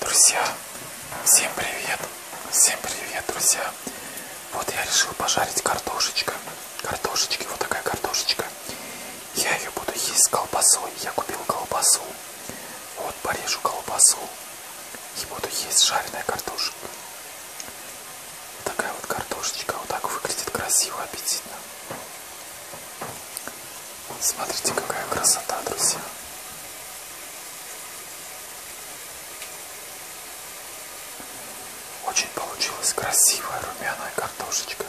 Друзья, всем привет! Всем привет, друзья! Вот я решил пожарить картошечка. Картошечки, вот такая картошечка. Я ее буду есть с колбасой. Я купил колбасу. Вот порежу колбасу. И буду есть жареная картошка. Такая вот картошечка. Вот так выглядит красиво, аппетитно. Смотрите, какая красота, друзья. Очень получилась красивая румяная картошечка.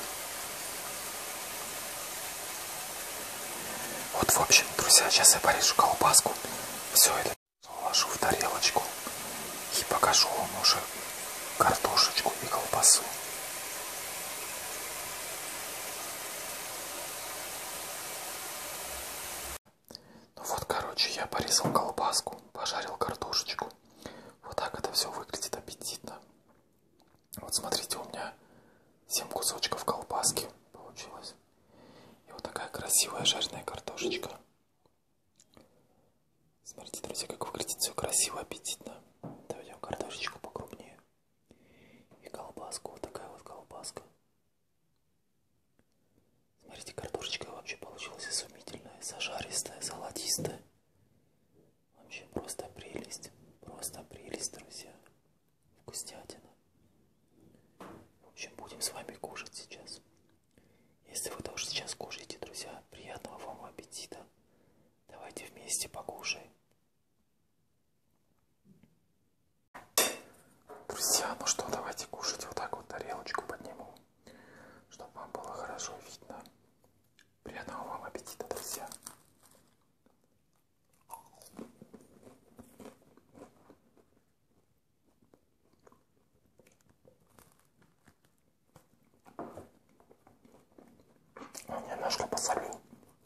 Вот, в общем, друзья, сейчас я порежу колбаску. Все это положу в тарелочку и покажу вам уже картошечку и колбасу. Ну вот, короче, я порезал колбаску, пожарил картошечку. Вот так это все выглядит аппетитно. Вот смотрите, у меня 7 кусочков колбаски получилось. И вот такая красивая жареная картошечка. Смотрите, друзья, как выглядит все красиво, аппетитно. Доведем картошечку покрупнее. И колбаску, вот такая вот колбаска. Смотрите, картошечка вообще получилась изумительная, зажаристая, золотистая. Вообще просто прелесть, просто прелесть, друзья. Вкуснятина. В общем, будем с вами кушать сейчас. Если вы тоже сейчас кушаете, друзья, приятного вам аппетита. Давайте вместе покушаем. Друзья, ну что, давайте кушать. Вот так вот тарелочку подниму, чтобы вам было хорошо видно. Приятного вам аппетита, друзья. Я немножко посолю.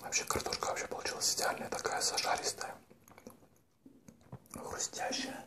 Вообще картошка вообще получилась идеальная, такая зажаристая, хрустящая.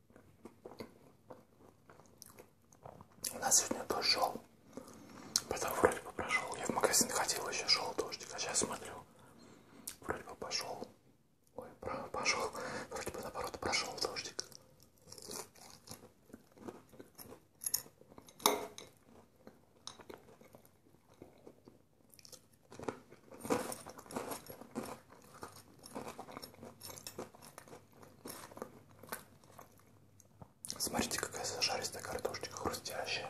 У нас сегодня дождь шел. Потом вроде бы прошел. Я в магазин ходил, еще шел дождик. А сейчас смотрю. Вроде бы пошел. Ой, пошел. Вроде бы наоборот прошел дождик. Смотрите, какая зажаристая картошечка, хрустящая.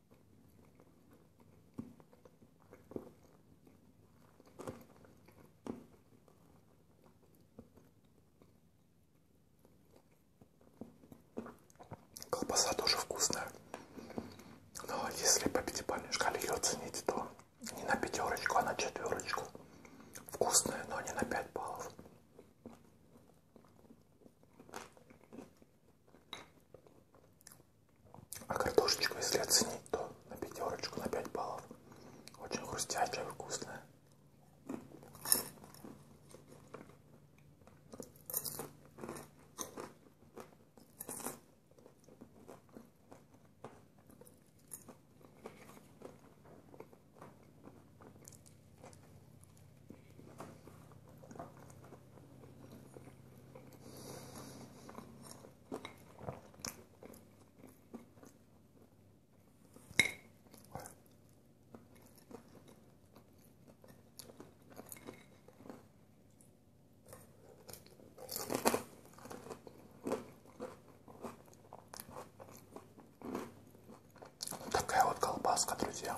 Колбаса тоже вкусная. Но если по пятибалльной шкале ее оценить, то не на пятерочку, а на четверочку. Вкусная, но не на 5 баллов. А картошечку, если оценить, то на пятерочку, на 5 баллов. Очень хрустящая, вкусная. Такая вот колбаска, друзья.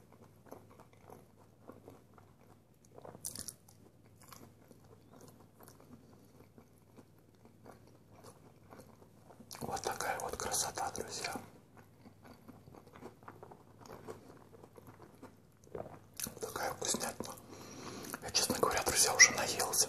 Вот такая вот красота, друзья. Вот такая вкуснятина. Я, честно говоря, друзья, уже наелся.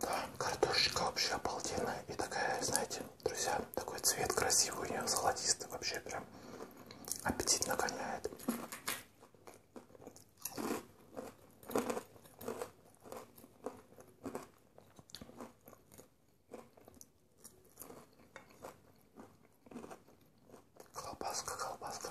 Да, картошечка вообще обалденная и такая, знаете, друзья, такой цвет красивый у нее золотистый вообще прям прям аппетит нагоняет. Колбаска, колбаска.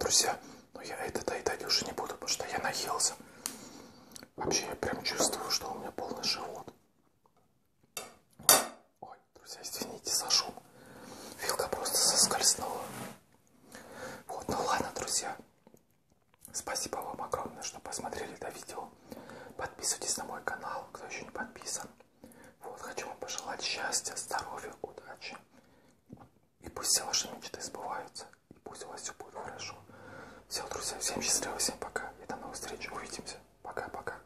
Друзья, но я это доедать уже не буду, потому что я наелся. Вообще я прям чувствую, что у меня полный живот. Ой. Друзья, извините за шум. Вилка просто соскользнула. Вот, ну ладно, друзья. Спасибо вам огромное, что посмотрели это видео. Подписывайтесь на мой канал, кто еще не подписан. Вот, хочу вам пожелать счастья, здоровья, удачи. И пусть все ваши мечты сбываются. И пусть у вас все будет хорошо. Все, друзья, всем счастливо, всем пока. И до новых встреч. Увидимся. Пока-пока.